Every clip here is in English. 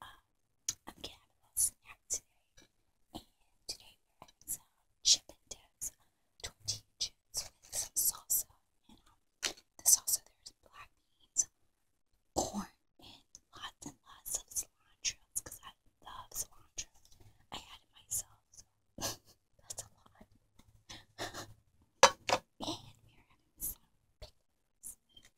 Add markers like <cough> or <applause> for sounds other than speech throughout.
Um, I'm going a little snack today, and today we're having some chip and tortilla chips with some salsa. And um, the salsa there is black beans, corn, and lots and lots of cilantro because I love cilantro. I had it myself, so <laughs> that's a lot. <laughs> and we're having some pickles.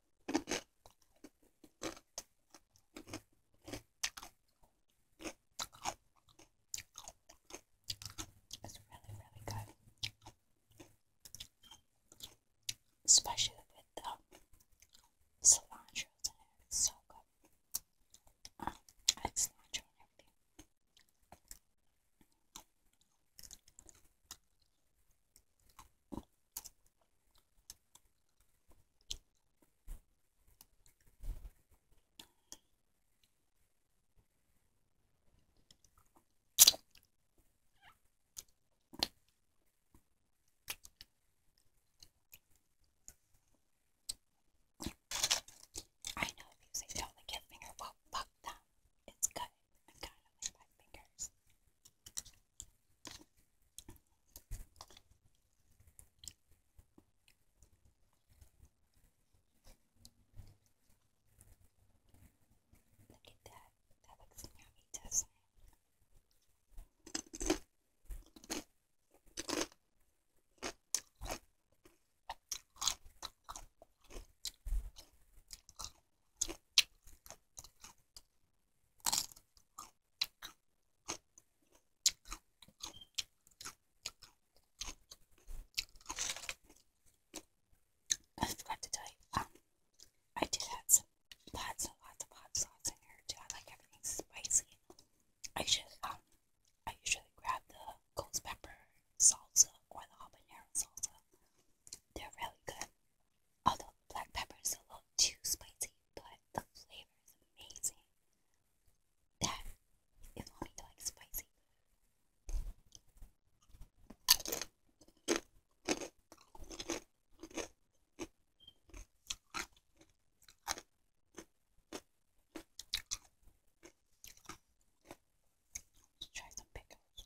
It's really, really good, especially with the cilantro in it. It's so good. Um, I and everything. I know if you say the kid finger, well fuck them. It's good. I've got it on my Look at that. That looks yummy, doesn't it? I forgot to tell you, um, I did add some lots and lots of hot sauce in here too. I like everything spicy. I just um, I usually grab the ghost pepper salsa or the habanero salsa. They're really good. Although black pepper is a little too spicy, but the flavor is amazing. That is why you like spicy. Let's try some pickles.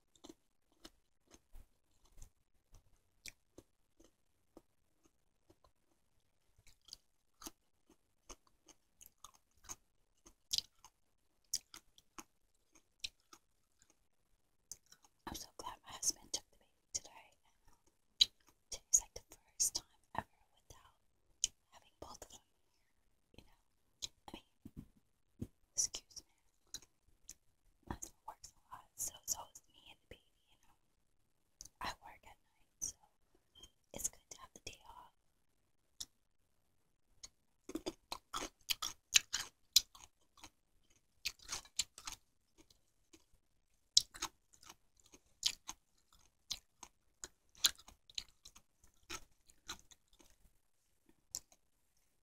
I'm so glad my husband took the baby today. Today's like the first time ever without having both of them here, you know? I mean, excuse me, that's what works a lot, so it's always me and the baby, you know, I work at night, so it's good to have the day off.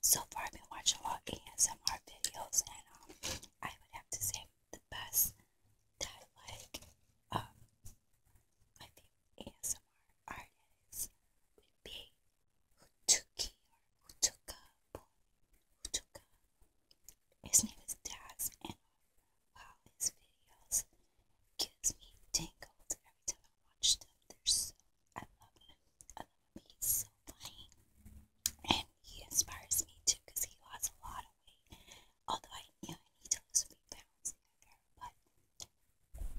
So far, I've been watching a lot of ASMR videos, and um, I would have to say the best that I like. Um, my favorite ASMR artist would be Hutuki or Hutuka Boy. His name is Daz, and wow, his videos gives me tingles every time Watched them. They're so I love him. I love him. He's so funny, and he inspires me too because he lost a lot of weight. Although I, you I need to lose a few pounds, but I don't want my body actually.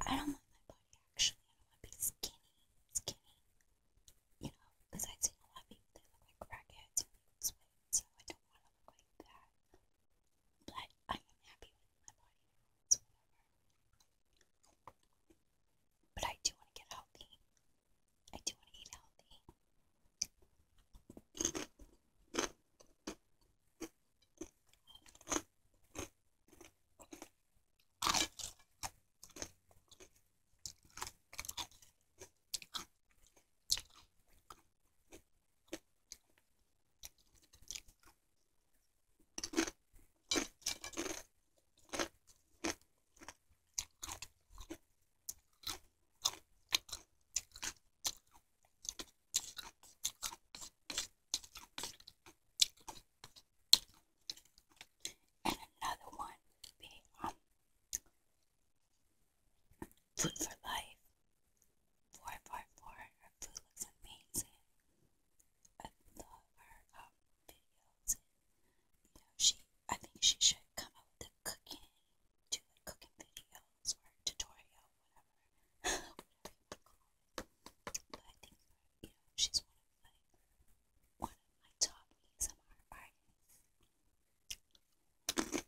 I don't want to be skinny, skinny. You know, because I've seen a lot of people that look like crackheads and lose so I don't want to look like that. But I am happy with my body now. It's whatever. But I do want to get healthy. I do want to eat healthy. And another one would be um, Food for Life. 444. Her food looks amazing. I thought her um, videos, and you know, she I think she should come up with a cooking, do like cooking videos or tutorial, whatever, whatever But I think you know she's one of my one of my top ASMR artists.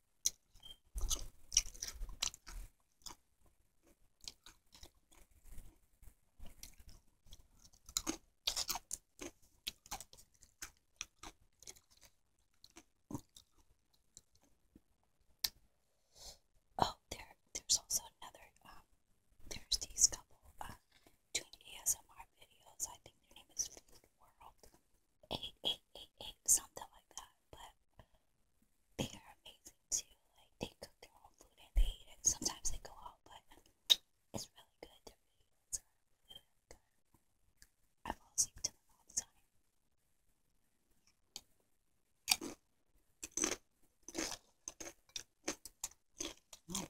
Oh, there, there's also another. Um, there's these couple uh, doing ASMR videos. I think their name is Food World eight eight eight eight something like that but they are amazing too. Like they cook their own food and they eat it. Sometimes they go out, but it's really good. Their videos are really, really good. I fall asleep to them all the time. Mm.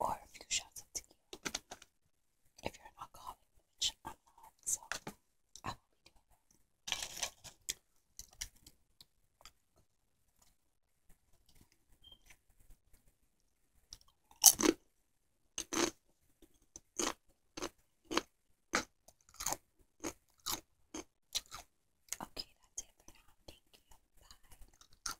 or a few shots of tequila. If you're an alcoholic, which so I will be doing that. Okay, that's it for now. Thank you. Bye.